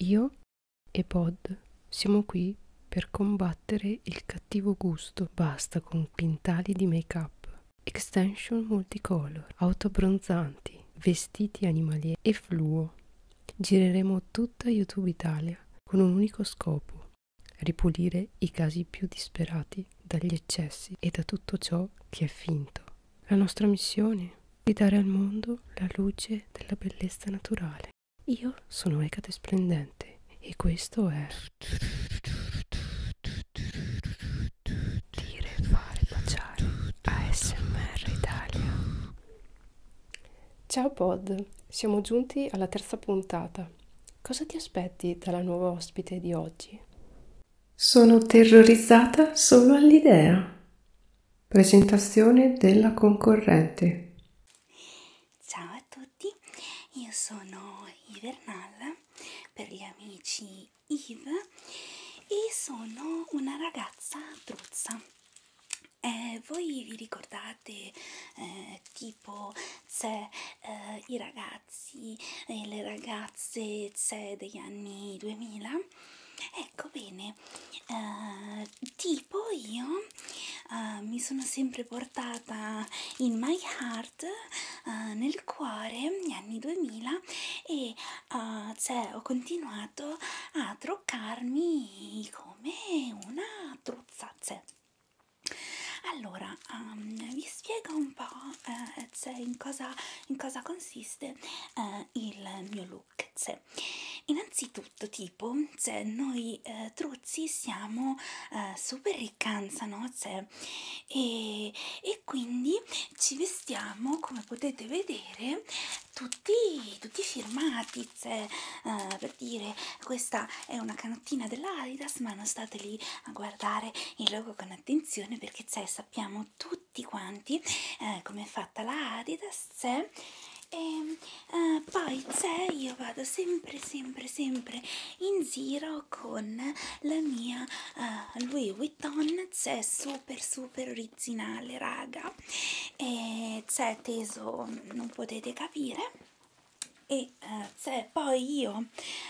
Io e Pod siamo qui per combattere il cattivo gusto. Basta con quintali di make-up, extension multicolor, autobronzanti, vestiti animalieri e fluo. Gireremo tutta YouTube Italia con un unico scopo, ripulire i casi più disperati dagli eccessi e da tutto ciò che è finto. La nostra missione di dare al mondo la luce della bellezza naturale. Io sono Ecate Splendente e questo è Dire, fare, baciare ASMR Italia. Ciao Pod, siamo giunti alla terza puntata. Cosa ti aspetti dalla nuova ospite di oggi? Sono terrorizzata solo all'idea. Presentazione della concorrente. Ciao a tutti, io sono Ivernal per gli amici Yves e sono una ragazza truzza. Eh, voi vi ricordate eh, tipo c'è eh, i ragazzi e eh, le ragazze c'è degli anni 2000? ecco bene eh, tipo io eh, mi sono sempre portata in my heart eh, nel cuore negli anni 2000 e eh, cioè, ho continuato a truccarmi come una truzza cioè. allora um, vi spiego un po' eh, cioè, in, cosa, in cosa consiste eh, il mio look lunghezze. Innanzitutto, tipo, se noi eh, truzzi siamo eh, super riccanza, no? Cioè, e, e quindi ci vestiamo, come potete vedere, tutti, tutti firmati, cioè, eh, per dire, questa è una canottina dell'Adidas, ma non state lì a guardare il logo con attenzione perché cioè, sappiamo tutti tutti quanti eh, come è fatta la Adidas c'è e ehm, eh, poi c'è io vado sempre sempre sempre in giro con la mia eh, Louis Vuitton c'è super super originale raga e c'è teso non potete capire e eh, poi io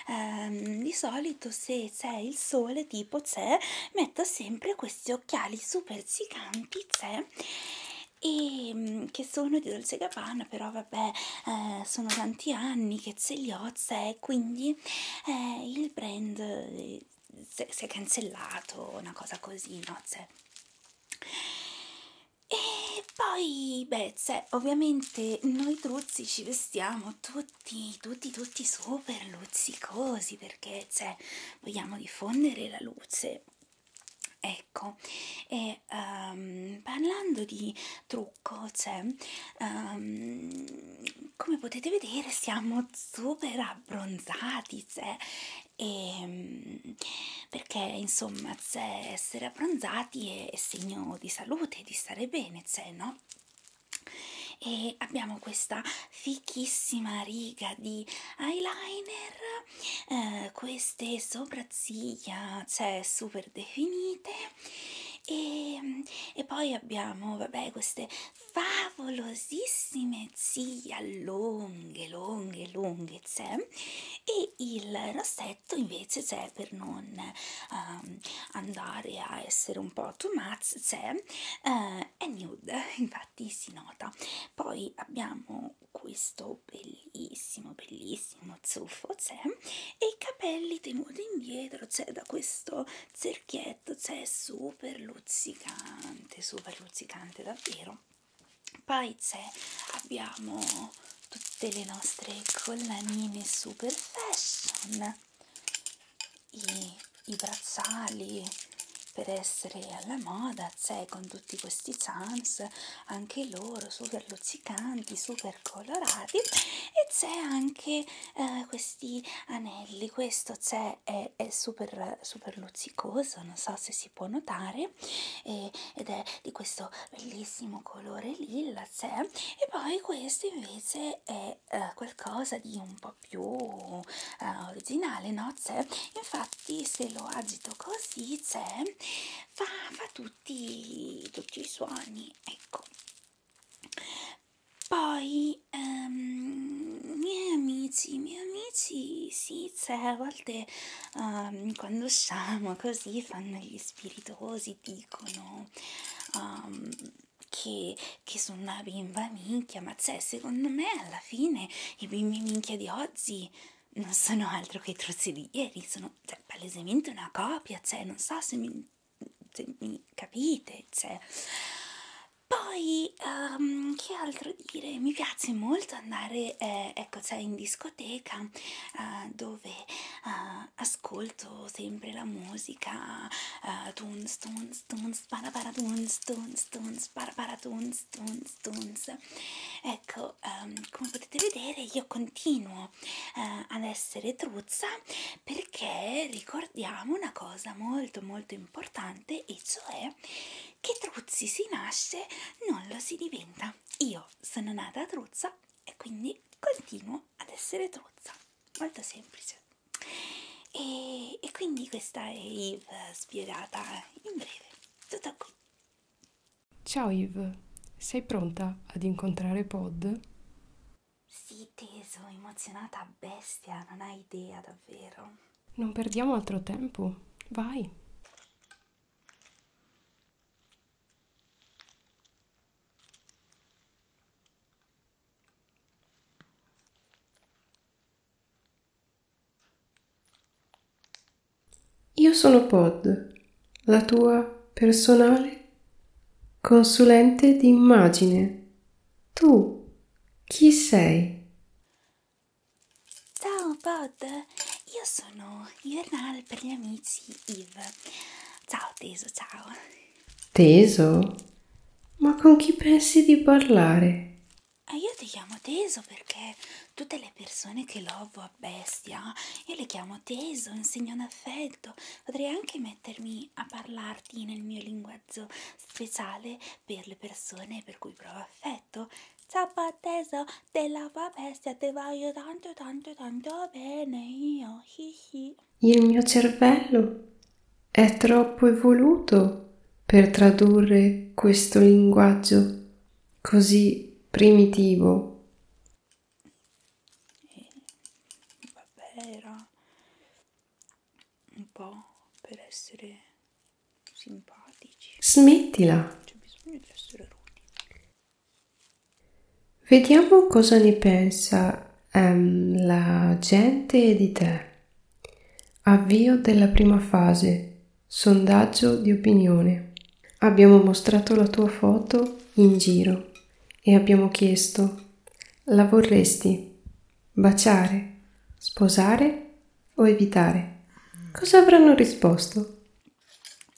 ehm, di solito se c'è il sole tipo c'è metto sempre questo questi occhiali super ziganti c'è e ehm, che sono di Dolce Gabbana però vabbè eh, sono tanti anni che ce li ho c'è quindi eh, il brand eh, si è cancellato una cosa così no c'è e poi beh c'è ovviamente noi truzzi ci vestiamo tutti tutti, tutti, tutti super luzzicosi perché cioè, vogliamo diffondere la luce. Ecco, e um, parlando di trucco, cioè, um, come potete vedere siamo super abbronzati, cioè, e, ehm, perché insomma, cioè, essere abbronzati è segno di salute, di stare bene, cioè, no? e abbiamo questa fichissima riga di eyeliner eh, queste sopracciglia cioè super definite e, mm, e poi abbiamo vabbè queste favolosissime zia lunghe lunghe lunghe c'è cioè. e il rossetto invece c'è cioè, per non um, andare a essere un po' too much c'è cioè, uh, eh, è nude, infatti si nota. Poi abbiamo questo bellissimo, bellissimo zuffo, c'è, e i capelli tenuti indietro, c'è da questo cerchietto, c'è super luzzicante, super luzzicante davvero. Poi c'è, abbiamo tutte le nostre collanine super fashion i, i bracciali per essere alla moda, sai, con tutti questi sans, anche loro super luccicanti, super colorati e c'è anche eh, questi anelli, questo c'è è, è super, super luccicoso, non so se si può notare e, ed è di questo bellissimo colore lilla, c'è e poi questo invece è eh, qualcosa di un po' po' più eh, originale, no? C'è, infatti, se lo agito così, c'è, fa, fa tutti, tutti i suoni, ecco. Poi, ehm, miei amici, miei amici, sì, c'è, a volte um, quando usciamo così fanno gli spiritosi, dicono... Um, che, che sono una bimba minchia, ma cioè, secondo me alla fine i bimbi minchia di oggi non sono altro che i trozzi di ieri, sono cioè, palesemente una copia, cioè, non so se mi, se mi capite, cioè. Poi, um, che altro dire? Mi piace molto andare, eh, ecco, cioè, in discoteca uh, dove uh, ascolto sempre la musica, uh, eh, Toonstone, tunes tunes para tunes tunes tunes para tunes tunes tunes ecco um, come potete vedere io continuo uh, ad essere truzza perché ricordiamo una cosa molto molto importante e cioè che truzzi si nasce non lo si diventa io sono nata truzza e quindi continuo ad essere truzza molto semplice e, e quindi questa è Yves spiegata in breve. Tutto qui. Ciao Yves, sei pronta ad incontrare Pod? Sì, teso, emozionata a bestia, non hai idea davvero. Non perdiamo altro tempo, vai. Io sono Pod, la tua personale consulente di immagine. Tu chi sei? Ciao Pod, io sono Ivernal per gli amici Yves. Ciao teso, ciao. Teso? Ma con chi pensi di parlare? Eh, io ti chiamo Teso perché tutte le persone che lovo a bestia, io le chiamo Teso in segno d'affetto. Potrei anche mettermi a parlarti nel mio linguaggio speciale per le persone per cui provo affetto. Ciao Teso, te lavo a bestia, te voglio tanto tanto tanto bene io, hi hi. Il mio cervello è troppo evoluto per tradurre questo linguaggio così primitivo. Vabbè, era un po' per essere simpatici. Smettila. C'è bisogno di essere rude. Vediamo cosa ne pensa ehm, la gente di te. Avvio della prima fase. Sondaggio di opinione. Abbiamo mostrato la tua foto in giro e abbiamo chiesto la vorresti baciare, sposare o evitare? Cosa avranno risposto?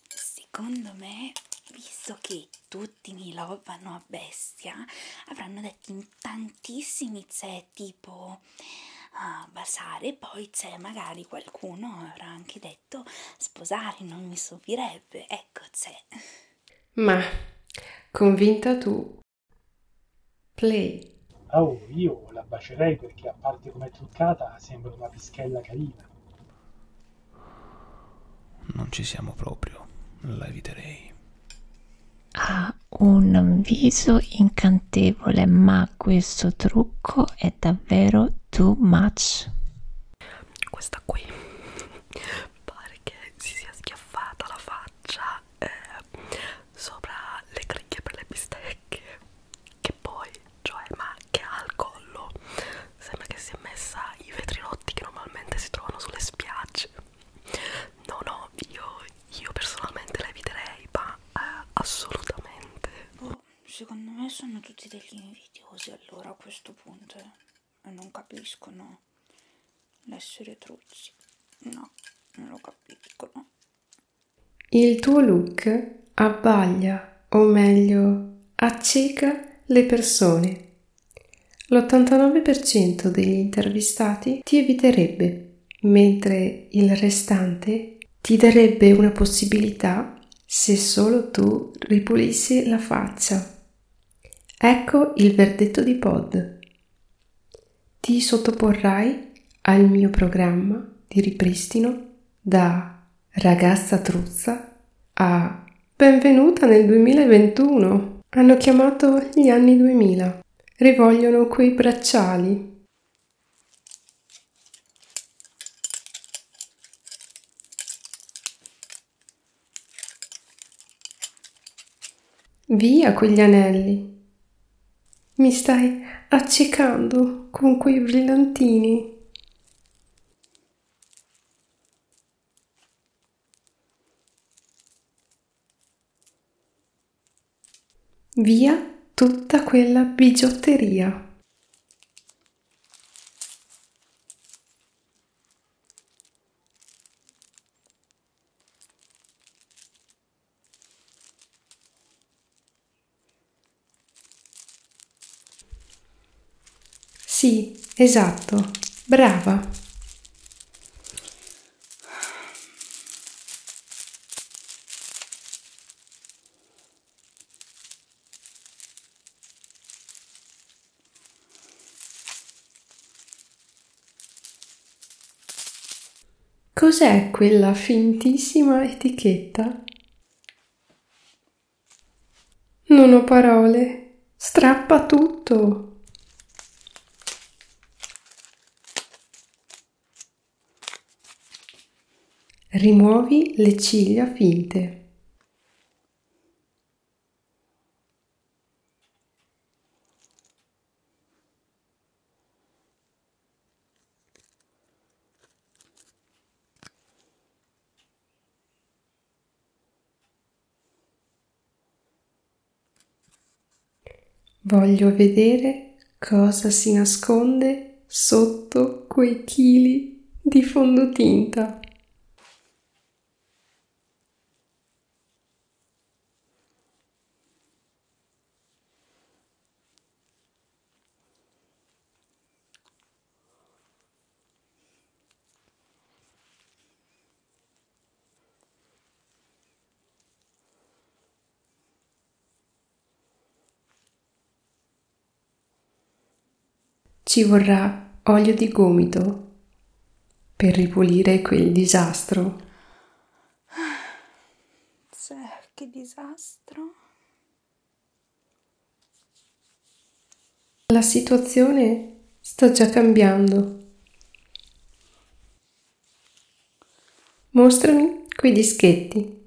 Secondo me, visto che tu bruttini love vanno a bestia avranno detto in tantissimi c'è tipo uh, basare poi c'è magari qualcuno avrà anche detto sposare non mi stupirebbe ecco c'è ma convinta tu play oh io la bacerei perché a parte come truccata sembra una pischella carina non ci siamo proprio, la eviterei. Ha un viso incantevole, ma questo trucco è davvero too much. Questa qui pare che si sia schiaffata la faccia eh, sopra le cricche per le bistecche. Che poi, cioè, ma che ha al collo oh sembra che si è messa i vetrilotti che normalmente si trovano sulle spiagge no no io, io personalmente la eviterei ma eh, assolutamente oh, secondo me sono tutti degli invidiosi allora a questo punto eh. non capiscono l'essere truzzi no non lo capiscono il tuo look abbaglia o meglio acceca le persone l'89% degli intervistati ti eviterebbe, mentre il restante ti darebbe una possibilità se solo tu ripulissi la faccia. Ecco il verdetto di Pod. Ti sottoporrai al mio programma di ripristino da Ragazza Truzza a Benvenuta nel 2021. Hanno chiamato gli anni 2000. Rivogliono quei bracciali, Via quegli anelli. Mi stai accecando con quei brillantini. Via tutta quella bigiotteria. Sì, esatto. Brava. Cos'è quella fintissima etichetta? Non ho parole. Strappa tutto. Rimuovi le ciglia finte. Voglio vedere cosa si nasconde sotto quei chili di fondotinta. Ci vorrà olio di gomito per ripulire quel disastro. Cioè, che disastro. La situazione sta già cambiando. Mostrami quei dischetti.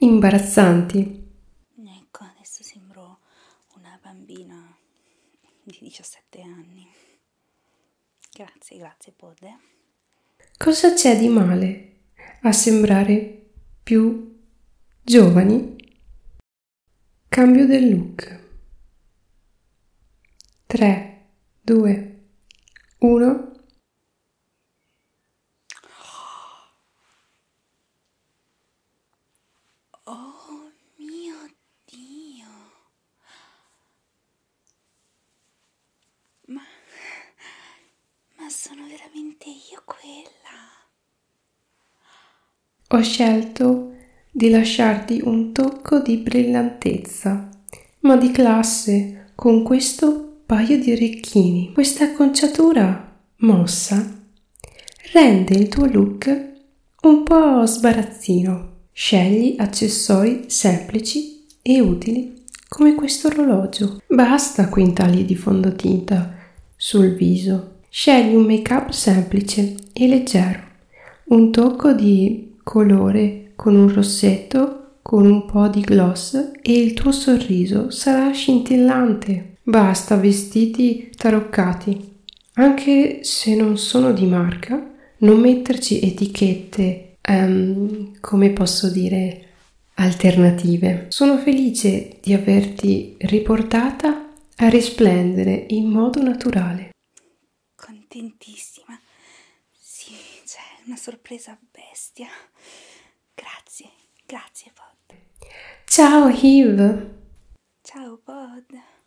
Imbarazzanti. Ecco, adesso sembro una bambina di 17 anni. Grazie, grazie Podde. Cosa c'è di male a sembrare più giovani? Cambio del look. 3, 2, 1. Oh mio Dio! Ma, ma sono veramente io quella. Ho scelto di lasciarti un tocco di brillantezza, ma di classe, con questo paio di orecchini. Questa acconciatura mossa rende il tuo look un po' sbarazzino. Scegli accessori semplici e utili come questo orologio. Basta quintali di fondotinta sul viso. Scegli un make-up semplice e leggero, un tocco di colore con un rossetto, con un po' di gloss e il tuo sorriso sarà scintillante. Basta vestiti taroccati, anche se non sono di marca, non metterci etichette, um, come posso dire, alternative. Sono felice di averti riportata a risplendere in modo naturale. Contentissima. Sì, c'è una sorpresa bestia. Grazie, grazie Pod. Ciao Hiv. Ciao Pod.